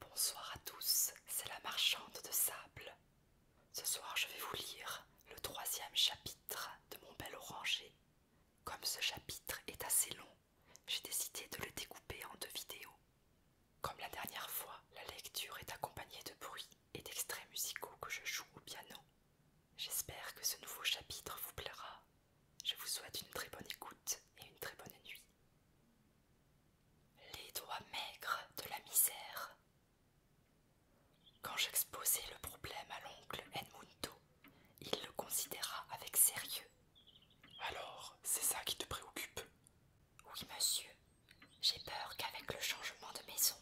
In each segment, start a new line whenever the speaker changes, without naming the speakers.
Bonsoir à tous, c'est la marchande de sable. Ce soir je vais vous lire le troisième chapitre de mon bel oranger. Comme ce chapitre est assez long, j'ai décidé de le découper en deux vidéos. Comme la dernière fois, la lecture est accompagnée de bruits et d'extraits musicaux que je joue au piano. J'espère que ce nouveau chapitre vous plaira. Je vous souhaite une très bonne écoute et une très bonne nuit les doigts maigres de la misère. Quand j'exposai le problème à l'oncle Edmundo, il le considéra avec sérieux. Alors, c'est ça qui te préoccupe Oui, monsieur. J'ai peur qu'avec le changement de maison,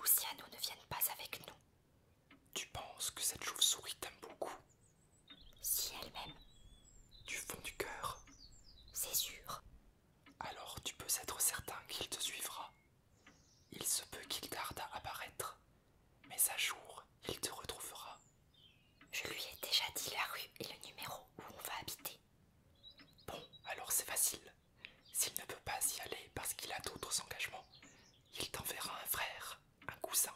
Luciano ne vienne pas avec nous. Tu penses que cette chauve-souris t'aime beaucoup si elle même Du fond du cœur. C'est sûr. Alors tu peux être certain qu'il te suivra. Il se peut qu'il tarde à apparaître, mais un jour, il te retrouvera. Je lui ai déjà dit la rue et le numéro où on va habiter. Bon, alors c'est facile. S'il ne peut pas y aller parce qu'il a d'autres engagements, il t'enverra un frère, un cousin,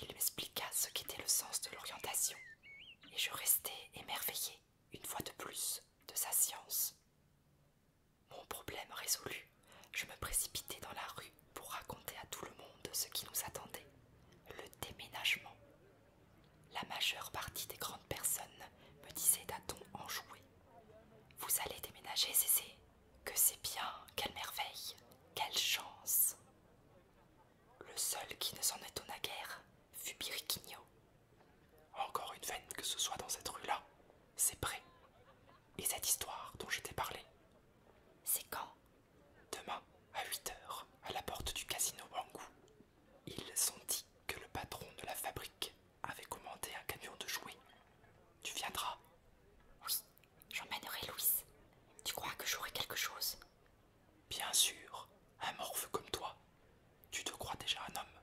il m'expliqua ce qu'était le sens de l'orientation, et je restai émerveillé, une fois de plus, de sa science. Mon problème résolu, je me précipitai dans la rue pour raconter à tout le monde ce qui nous attendait, le déménagement. La majeure partie des grandes personnes me disait d'un ton enjoué. Vous allez déménager, Cécé Que c'est bien, quelle merveille, quelle chance le seul qui ne s'en étonna guère fut Biriquinho. Encore une veine que ce soit dans cette rue-là, c'est prêt. Et cette histoire dont je t'ai parlé C'est quand Demain, à 8 h à la porte du casino Bangu. Ils ont dit que le patron de la fabrique avait commandé un camion de jouets. Tu viendras J'emmènerai Louis. Tu crois que j'aurai quelque chose Bien sûr, un morveux comme toi. Tu te crois déjà un homme.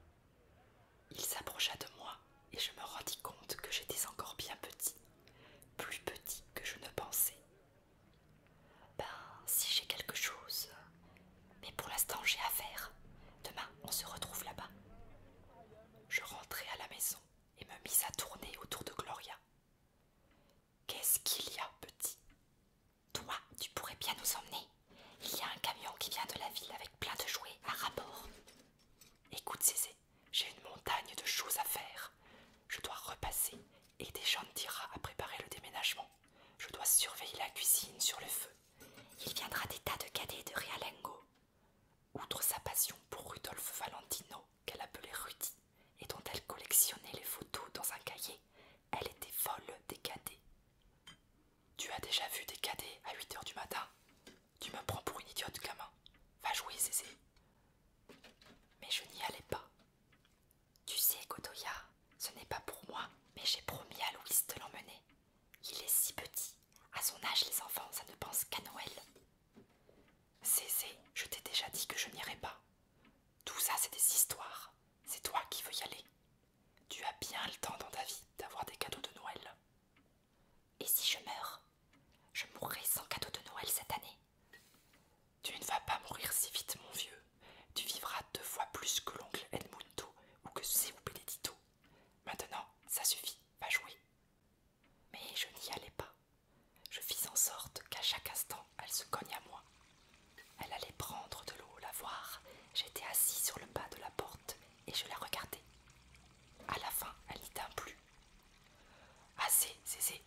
Il s'approcha de moi et je me rendis compte que j'étais encore bien petit, plus petit que je ne pensais. Ben, si j'ai quelque chose. Mais pour l'instant, j'ai affaire. Demain, on se retrouve là-bas. Je rentrai à la maison et me mis à tourner autour de Gloria. Qu'est-ce qu'il y a, petit Toi, tu pourrais bien nous emmener. Il y a un camion qui vient de la ville avec plein de jouets à rapport. Écoute, Cézé, j'ai une montagne de choses à faire. Je dois repasser et des gens dira à préparer le déménagement. Je dois surveiller la cuisine sur le feu. Il viendra des tas de cadets de Realengo. Outre sa passion pour Rudolf Valentino, qu'elle appelait Rudy et dont elle collectionnait les photos dans un cahier, elle était folle des cadets. Tu as déjà vu des cadets à 8 heures du matin Tu me prends pour une idiote, gamin. Va jouer, Zézé. Mais je n'y allais pas. Tu sais, Kotoya, ce n'est pas pour moi, mais j'ai promis à Louise de l'emmener. Il est si petit. À son âge, les enfants, ça ne pense qu'à Noël. Cécé, je t'ai déjà dit que je n'irai pas. Tout ça, c'est des histoires. C'est toi qui veux y aller. Tu as bien le temps dans ta vie d'avoir des cadeaux de Noël. Et si je meurs Je mourrai sans cadeaux de Noël cette année. Tu ne vas pas mourir si vite, mon vieux. Tu vivras deux fois plus que l'oncle Edmundo ou que Seu Benedito. Maintenant, ça suffit, va jouer. Mais je n'y allais pas. Je fis en sorte qu'à chaque instant elle se cogne à moi. Elle allait prendre de l'eau la voir. j'étais assis sur le bas de la porte et je la regardais. À la fin, elle n'y tint plus. Assez, Zézé,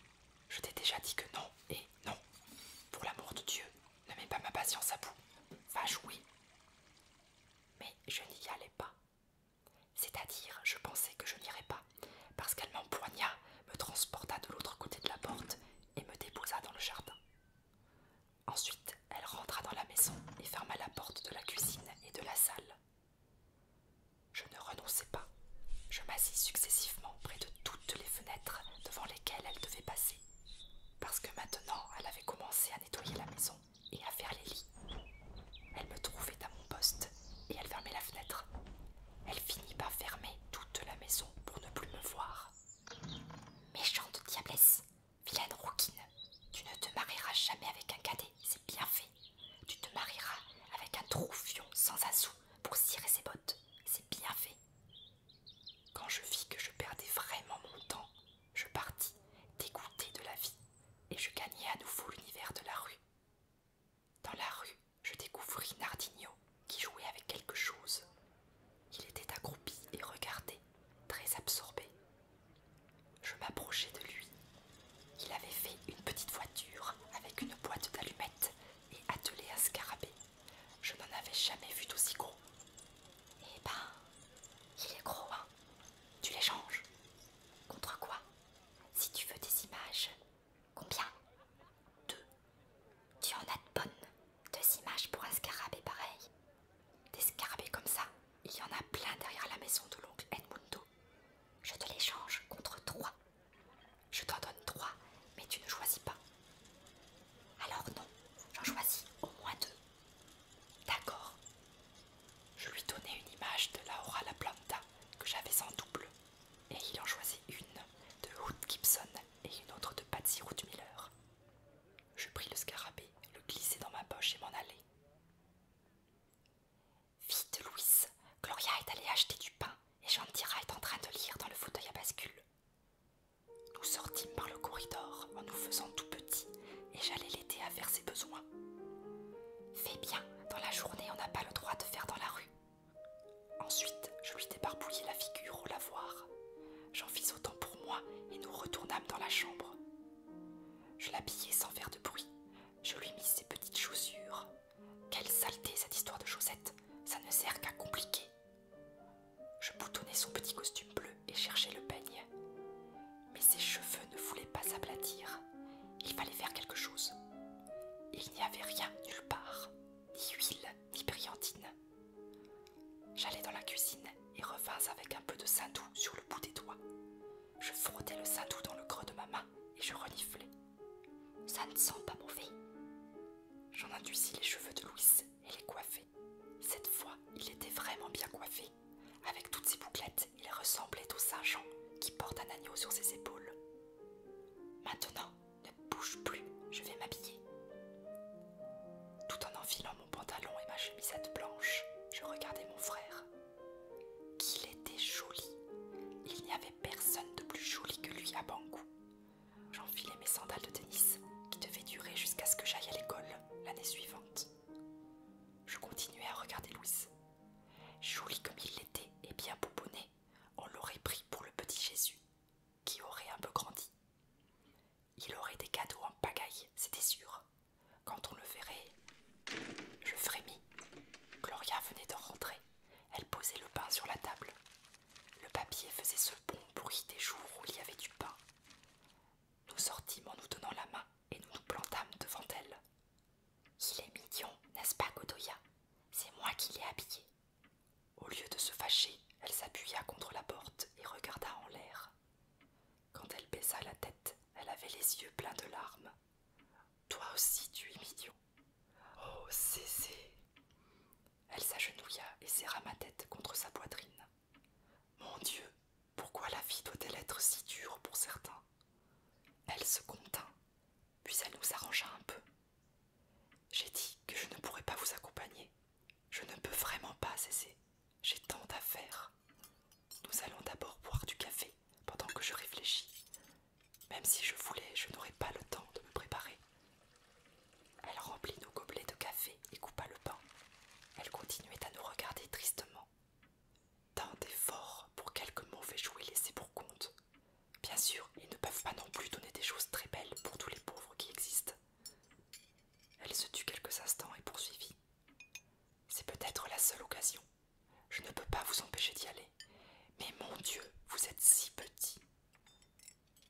je t'ai déjà dit que non et non. Pour l'amour de Dieu, ne mets pas ma patience à bout. Va jouer. Mais je n'y allais pas. C'est-à-dire, je pensais que je n'irais pas parce qu'elle m'empoigna, me transporta de l'autre côté de la porte et me déposa dans le jardin. Ensuite, elle rentra dans la maison et ferma la porte de la cuisine et de la salle. Je ne renonçai pas. Je m'assis successivement près de toutes les fenêtres devant lesquelles elle devait passer, parce que maintenant elle avait commencé à nettoyer la maison et à faire les lits. Elle me trouvait à mon poste et elle fermait la fenêtre. Elle finit par fermer toute la maison pour ne plus me voir. Méchante diablesse, vilaine rouquine, tu ne te marieras jamais avec un cadet, c'est bien fait. Tu te marieras avec un troufion sans un sou pour cirer ses bottes, c'est bien fait. Quand je vis que je perdais vraiment mon temps, je partis, dégoûtée de la vie, et je gagnai à nouveau l'univers de la rue. Dans la rue, je découvris Nardigno qui jouait avec quelque chose. Il était accroupi et regardait, très absorbé. Je m'approchai de lui. Il avait fait une petite voiture avec une boîte d'allumettes et attelé un scarabée. Je n'en avais jamais vu d'aussi gros. Eh ben, il est gros, hein Tu les changes Contre quoi Si tu veux des images, Combien Deux. Tu en as de bonnes. Deux images pour un scarabée pareil. Des scarabées comme ça, il y en a plein derrière la maison de l'oncle Edmundo. Je te les change contre trois. Je t'en donne trois, mais tu ne choisis pas. Alors non, j'en choisis au moins deux. D'accord. Je lui donnais une image de Laura la Planta que j'avais en double et il en choisit une de Ruth Gibson et une autre de Patsy Ruth Miller. Je pris le scarabée, le glissai dans ma poche et m'en allai. Vite, Louise, Gloria est allée acheter du pain et Dira est en train de lire dans le fauteuil à bascule. Nous sortîmes par le corridor en nous faisant tout petits et j'allais l'aider à faire ses besoins. Fais bien, dans la journée on n'a pas le droit de faire dans la rue, Ensuite, je lui débarbouillai la figure au lavoir. J'en fis autant pour moi et nous retournâmes dans la chambre. Je l'habillai sans faire de bruit. Je lui mis ses petites chaussures. Quelle saleté cette histoire de chaussettes Ça ne sert qu'à compliquer. Je boutonnai son petit costume bleu et cherchai le peigne. Mais ses cheveux ne voulaient pas s'aplatir. Il fallait faire quelque chose. Il n'y avait rien nulle part, ni huile, ni brillantine. J'allai dans la cuisine et revins avec un peu de saint-doux sur le bout des doigts. Je frottais le sein-doux dans le creux de ma main et je reniflais. Ça ne sent pas mauvais. J'en induisis les cheveux de Louis et les coiffai. Cette fois, il était vraiment bien coiffé. Avec toutes ses bouclettes, il ressemblait au Saint Jean qui porte un agneau sur ses épaules. Maintenant, ne bouge plus, je vais m'habiller. Tout en enfilant mon pantalon et ma chemisette blanche, je regardais mon frère. Qu'il était joli. Il n'y avait personne de plus joli que lui à Bangou. J'enfilai mes sandales de tennis qui devaient durer jusqu'à ce que j'aille à l'école l'année suivante. Je continuais à regarder Louis. Joli comme il l'était et bien boubonné on l'aurait pris pour le petit Jésus, qui aurait un peu grandi. Il aurait des cadeaux en pagaille, c'était sûr. Quand on le verrait, je frémis. Gloria venait de rentrer. Elle posait le pain sur la table. Le papier faisait ce bon bruit des jours où il y avait du pain. Nous sortîmes en nous donnant la main et nous nous plantâmes devant elle. Il est midion, n'est-ce pas, Godoya C'est moi qui l'ai habillé. Au lieu de se fâcher, elle s'appuya contre la porte et regarda en l'air. Quand elle baissa la tête, elle avait les yeux pleins de larmes. Toi aussi, tu es midion. Oh, c'est Elle s'agenouilla et serra ma tête contre sa poitrine. Mon Dieu, pourquoi la vie doit-elle être si dure pour certains Elle se contint, puis elle nous arrangea un peu. J'ai dit que je ne pourrais pas vous accompagner. Je ne peux vraiment pas cesser. J'ai tant à faire. Nous allons d'abord boire du café pendant que je réfléchis. Même si je voulais, je n'aurais pas le temps de me préparer. Elle remplit nos gobelets de café et coupa le pain. Elle continuait à nous regarder tristement tant d'efforts pour quelques mauvais jouets laissés pour compte. Bien sûr, ils ne peuvent pas non plus donner des choses très belles pour tous les pauvres qui existent. Elle se tut quelques instants et poursuivit. C'est peut-être la seule occasion. Je ne peux pas vous empêcher d'y aller. Mais mon Dieu, vous êtes si petit.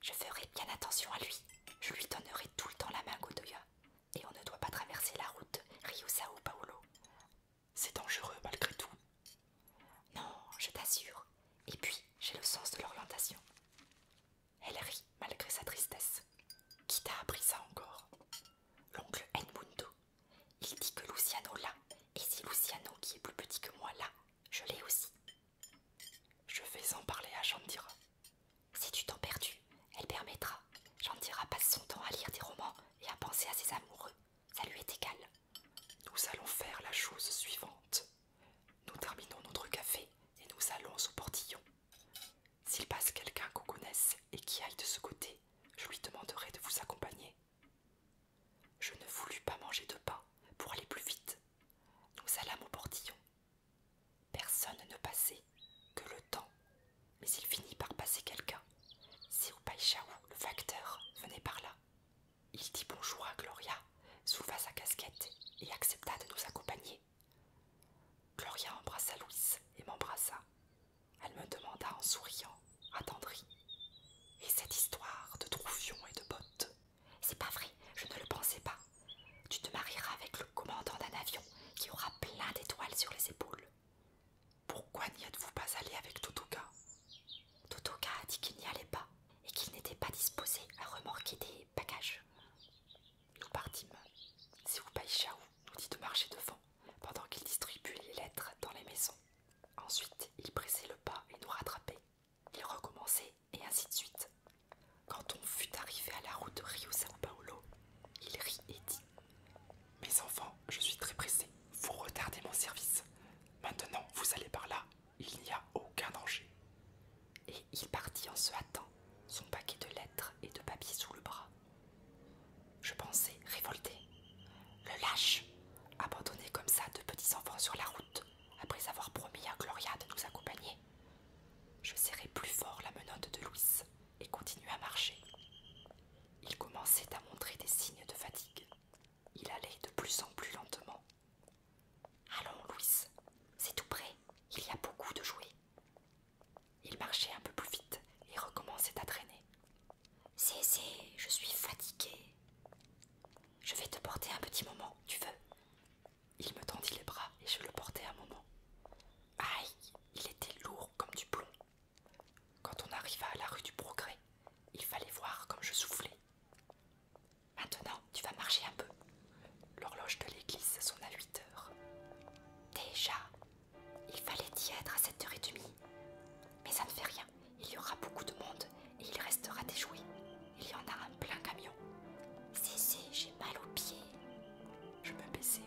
Je ferai bien attention à lui. Je lui donnerai tout le temps la main, Godoya. Et on ne doit pas traverser la route sao Paolo. C'est dangereux malgré tout. Non, je t'assure. Et puis, j'ai le sens de l'orientation. Elle rit malgré sa tristesse. Qui t'a appris ça encore L'oncle Edmundo. Il dit que Luciano l'a, et si Luciano, qui est plus petit que moi, l'a, je l'ai aussi. Je vais en parler à Jandira. Si tu t'en perds, elle permettra. Jandira passe son temps à lire des romans et à penser à ses amoureux. Ça lui est égal. Nous allons faire la chose suivante. Nous terminons notre café et nous allons au portillon. S'il passe quelqu'un qu'on connaisse et qui aille de ce côté, je lui demanderai de vous accompagner. Je ne voulus pas manger de pain pour aller plus vite. Nous allâmes au portillon. Personne ne passait, que le temps, mais il finit par passer quelqu'un. Si païchaou, le facteur, venait par là, il dit bonjour à Gloria, souleva sa casquette et accepta de nous accompagner. Gloria embrassa Louis et m'embrassa. Elle me demanda en souriant, attendrie. Et cette histoire de troufion et de bottes C'est pas vrai, je ne le pensais pas. Tu te marieras avec le commandant d'un avion qui aura plein d'étoiles sur les épaules. Pourquoi n'y êtes-vous pas allé avec Totoka Totoka a dit qu'il n'y allait pas et qu'il n'était pas disposé à remorquer des bagages. Nous partîmes. C'est Ishaou nous dit de marcher devant pendant qu'il distribue les lettres dans les maisons. Ensuite, il pressait le pas et nous rattrapait. Il recommençait et ainsi de suite. Quand on fut arrivé à la route Rio-San Paolo, il rit et dit mes enfants, je suis très pressé. Vous retardez mon service. Maintenant, vous allez par là. Il n'y a aucun danger. Et il partit en se hâtant, son paquet de lettres et de papiers sous le bras. Je pensais révolté. Le lâche abandonné comme ça de petits enfants sur la route, après avoir promis à Gloria de nous accompagner. Je serrai plus fort la menotte de Louis et continuai à marcher. Il commençait à montrer des signes de fatigue. Il allait de plus en plus lentement. Allons, Louis, c'est tout prêt, il y a beaucoup de jouets. Il marchait un peu plus vite et recommençait à traîner. C'est, c'est, je suis fatiguée. Je vais te porter un petit moment, tu veux Il me tendit les bras et je le portai un moment. Aïe, il était lourd comme du plomb quand on arriva à la rue du Progrès, il fallait voir comme je soufflais. Maintenant, tu vas marcher un peu. L'horloge de l'église sonne à 8 heures. Déjà, il fallait y être à 7 h demie. »« Mais ça ne fait rien, il y aura beaucoup de monde et il restera des jouets. Il y en a un plein camion. Si, si, j'ai mal aux pieds. Je me baisser.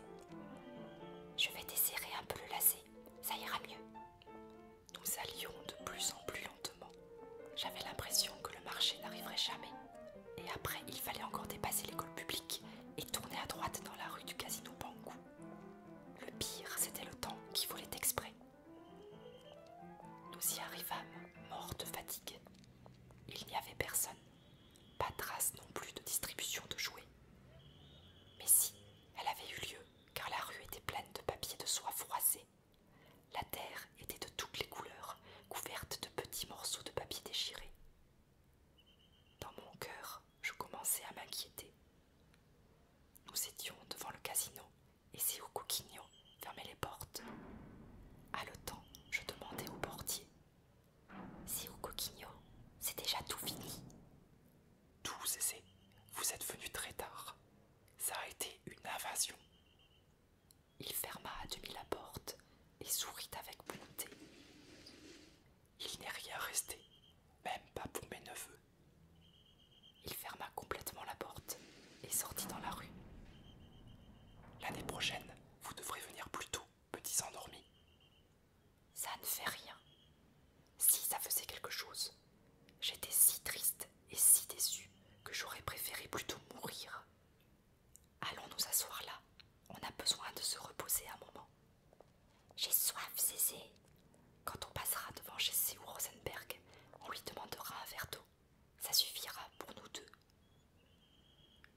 Je vais desserrer un peu le lacet, ça ira mieux. Nous allions de plus en plus lentement. J'avais l'impression que le marché n'arriverait jamais. Et après, il fallait encore dépasser l'école publique et tourner à droite dans la rue du casino Bangu. Le pire, c'était le temps qui volait exprès. Nous y arrivâmes, morts de fatigue. Il n'y avait personne, pas trace non plus de distribution de jouets. Mais si, elle avait eu lieu car la rue était pleine de papiers de soie froissés. La terre était de toutes les couleurs, couverte de petits morceaux de papier déchirés. Dans mon cœur, je commençais à m'inquiéter. Nous étions devant le casino et au coquignot fermait les portes. Haletant, je demandais au portier. Si au coquignot, c'est déjà tout fini. Tout cessé. Vous êtes venu très tard. Ça a été une invasion. Il ferma à demi la porte et sourit avec bonté. Il n'est rien resté, même pas pour mes neveux. Il ferma complètement la porte et sortit dans la rue. L'année prochaine, vous devrez venir plus tôt, petits endormis. Ça ne fait rien. Si ça faisait quelque chose, j'étais si triste et si déçue que j'aurais préféré plutôt mourir. Allons nous asseoir là. On a besoin de se reposer un moment. J'ai soif, Zézé. Quand on passera devant Jesse ou Rosenberg, on lui demandera un verre d'eau. Ça suffira pour nous deux.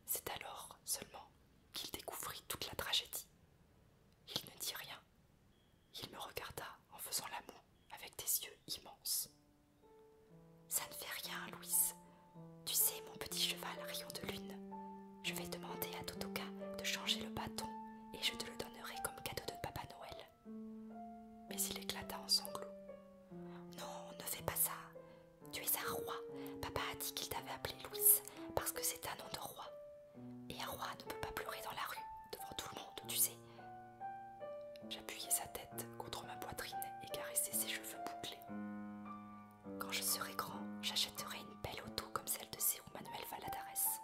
C'est alors seulement qu'il découvrit toute la tragédie. Il ne dit rien, il me regarda en faisant l'amour avec des yeux immenses. Ça ne fait rien, Louise. Tu sais, mon petit cheval rayon de lune. Je vais demander à Totoka de changer le bâton et je te le donnerai comme cadeau de Papa Noël. Mais il éclata en sanglots. Non, ne fais pas ça. Tu es un roi. Papa a dit qu'il t'avait appelé Louise parce que c'est un nom de roi. Et un roi ne peut pas pleurer dans la rue, devant tout le monde, tu sais. J'appuyais sa tête contre ma poitrine et caressais ses cheveux bouclés. Quand je serai grand, j'achèterai une belle auto comme celle de Ciro Manuel Valadares.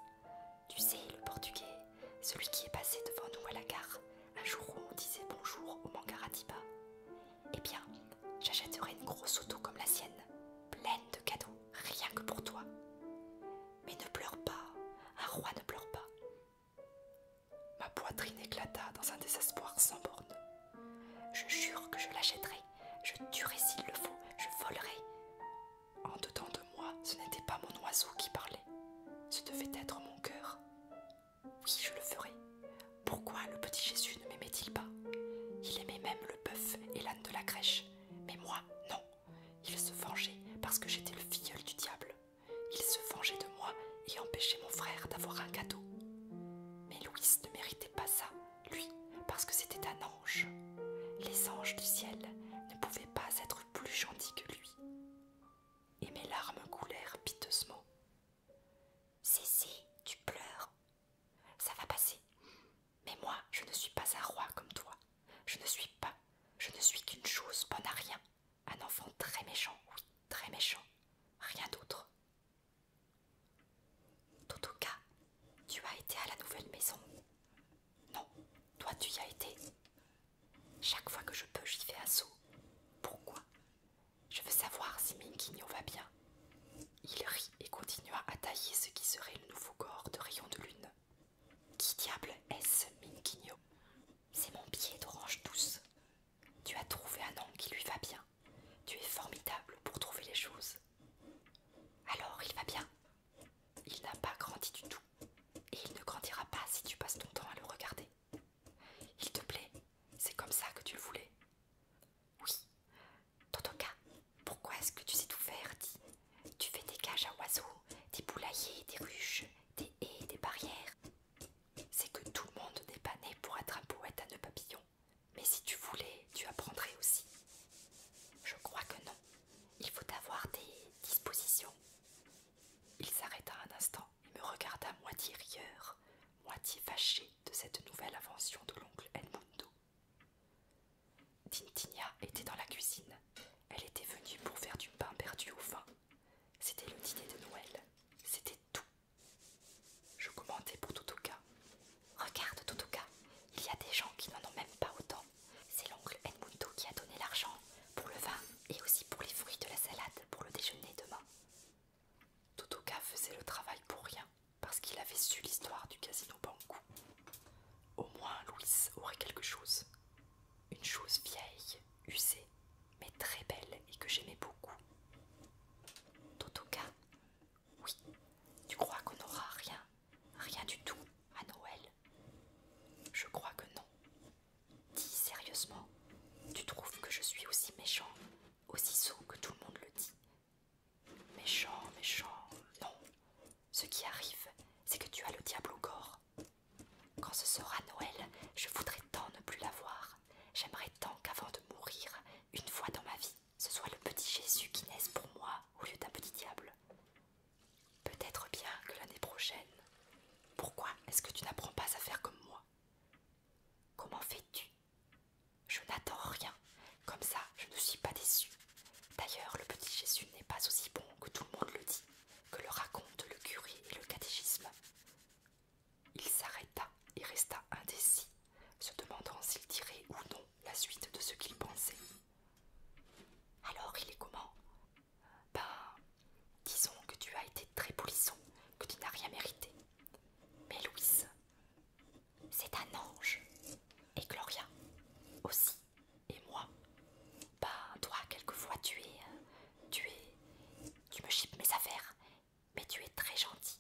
Tu sais, le portugais, celui qui est passé devant nous à la gare, un jour où on disait bonjour au Mangaratiba. Eh bien, j'achèterai une grosse auto comme la sienne, pleine de cadeaux rien que pour toi. Mais ne pleure pas, un roi ne pleure pas. Ma poitrine éclata dans un désespoir sans borne. Je jure que je l'achèterai, je tuerai s'il le faut, je volerai. En dedans de moi, ce n'était pas mon oiseau qui parlait, ce devait être mon cœur. Oui, je le ferai. Pourquoi le petit Jésus ne m'aimait-il pas Il aimait même le bœuf et l'âne de la crèche, mais moi, non. Il se vengeait parce que j'étais le filleul du diable. Il se vengeait de moi et empêchait mon frère d'avoir un cadeau. Mais Louis ne méritait pas ça, lui, parce que c'était un ange. Les anges du ciel ne pouvaient pas être plus gentils que lui. Et mes larmes coulèrent piteusement. si, tu pleures. Ça va passer. Mais moi, je ne suis pas un roi comme toi. Je ne suis pas. Je ne suis qu'une chose bonne à rien. Un enfant très méchant, oui, très méchant. Rien d'autre. cas, tu as été à la nouvelle maison. Non, toi tu y as été. Chaque fois que je peux, j'y fais un saut. Pourquoi Je veux savoir si Minkinyo va bien. Il rit et continua à tailler ce qui serait le nouveau corps de rayon de lune. Qui diable est-ce, Minguigno C'est mon pied d'orange douce. Tu as trouvé un nom qui lui va bien. Tu es formidable pour trouver les choses. Alors il va bien. Il n'a pas grandi du tout. Et il ne grandira pas si tu passes ton temps à le regarder. Il te plaît, c'est comme ça que tu le voulais. Oui, dans cas, pourquoi est-ce que tu sais tout faire dit Tu fais des cages à oiseaux, des poulaillers, des ruches, des haies, des barrières. C'est que tout le monde n'est pas né pour être un poète à nos papillons. Mais si tu voulais, tu apprendrais aussi. Je crois que non. Il faut avoir des dispositions. Il s'arrêta un instant et me regarda moitié rieur, moitié fâché de cette nouvelle invention de l'oncle Edmundo. Tintinia était dans la cuisine. Elle était venue pour faire du pain perdu au vin. C'était le dîner de Noël. C'était tout. Je commentais pour Totoka. Regarde Totoka, il y a des gens qui n'en ont même pas autant. C'est l'oncle Edmundo qui a donné l'argent pour le vin et aussi pour les fruits de la salade pour le déjeuner demain. Totoka faisait le travail pour rien parce qu'il avait su l'histoire du casino Bangu. Au moins Louise aurait quelque chose. Une chose vieille, usée, mais très belle et que j'aimais beaucoup. cas, Oui, tu crois qu'on n'aura rien, rien du tout à Noël Je crois que non. Dis sérieusement, tu trouves que je suis aussi méchant, aussi sot que tout le monde le dit, Méchant, méchant, non. Ce qui arrive, c'est que tu as le diable au corps. Quand ce sera Noël, je voudrais tant ne plus la J'aimerais tant qu'avant de mourir, une fois dans ma vie, ce soit le petit Jésus qui naisse pour moi au lieu d'un petit diable. Peut-être bien que l'année prochaine. Pourquoi est-ce que tu n'apprends pas à faire comme moi Comment fais-tu Je n'attends rien. Comme ça, je ne suis pas déçue. D'ailleurs, le petit Jésus n'est pas aussi bon que tout le monde le dit, que le raconte le curé et le catéchisme. Il s'arrêta et resta indécis, se demandant s'il dirait ou non la suite de ce qu'il pensait. Alors il est comment Ben, disons que tu as été très polisson, que tu n'as rien mérité. Mais Louise, c'est un ange. Et Gloria aussi. Et moi. pas bah, toi quelquefois tu es... Euh, tu es... Tu me chipes mes affaires. Mais tu es très gentil.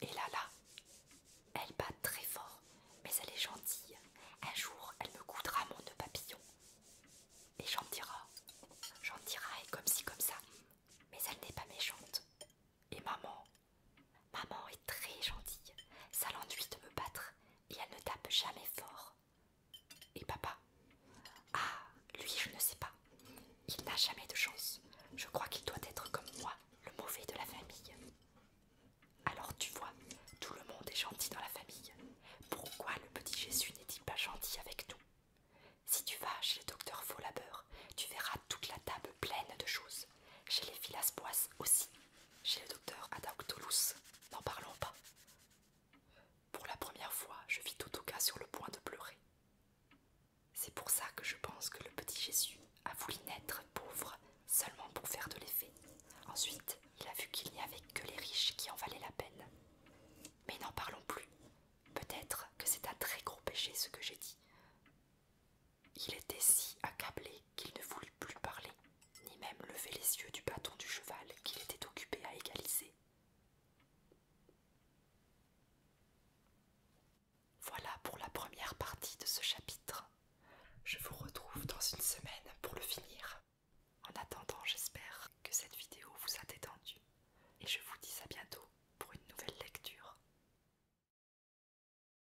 Et là là, elle bat très fort. Mais elle est gentille. Un jour, elle me coudra mon nœud papillon. Et j'en dira. J'en dira et comme si comme ça. Mais elle n'est pas méchante. Et maman, Maman est très gentille, ça l'ennuie de me battre et elle ne tape jamais fort. Et papa Ah, lui, je ne sais pas. Il n'a jamais de chance. Je crois qu'il doit être comme moi, le mauvais de la famille. Alors tu vois, tout le monde est gentil dans la famille. Pourquoi le petit Jésus n'est-il pas gentil avec nous Si tu vas chez le docteur Faulabeur, tu verras toute la table pleine de choses. Chez les filas aussi, chez le docteur Adauctolus, n'en parlons pas. Pour la première fois, je vis tout cas sur le point de pleurer. C'est pour ça que je pense que le petit Jésus a voulu naître pauvre seulement pour faire de l'effet. Ensuite, il a vu qu'il n'y avait que les riches qui en valaient la peine. Mais n'en parlons plus. Peut-être que c'est un très gros péché ce que j'ai dit. Il était si accablé qu'il ne voulut plus parler, ni même lever les yeux du bâton du cheval qu'il était occupé à égaliser. Voilà pour la première partie de ce chapitre. Je vous retrouve dans une semaine pour le finir. En attendant, j'espère que cette vidéo vous a détendu et je vous dis à bientôt pour une nouvelle lecture.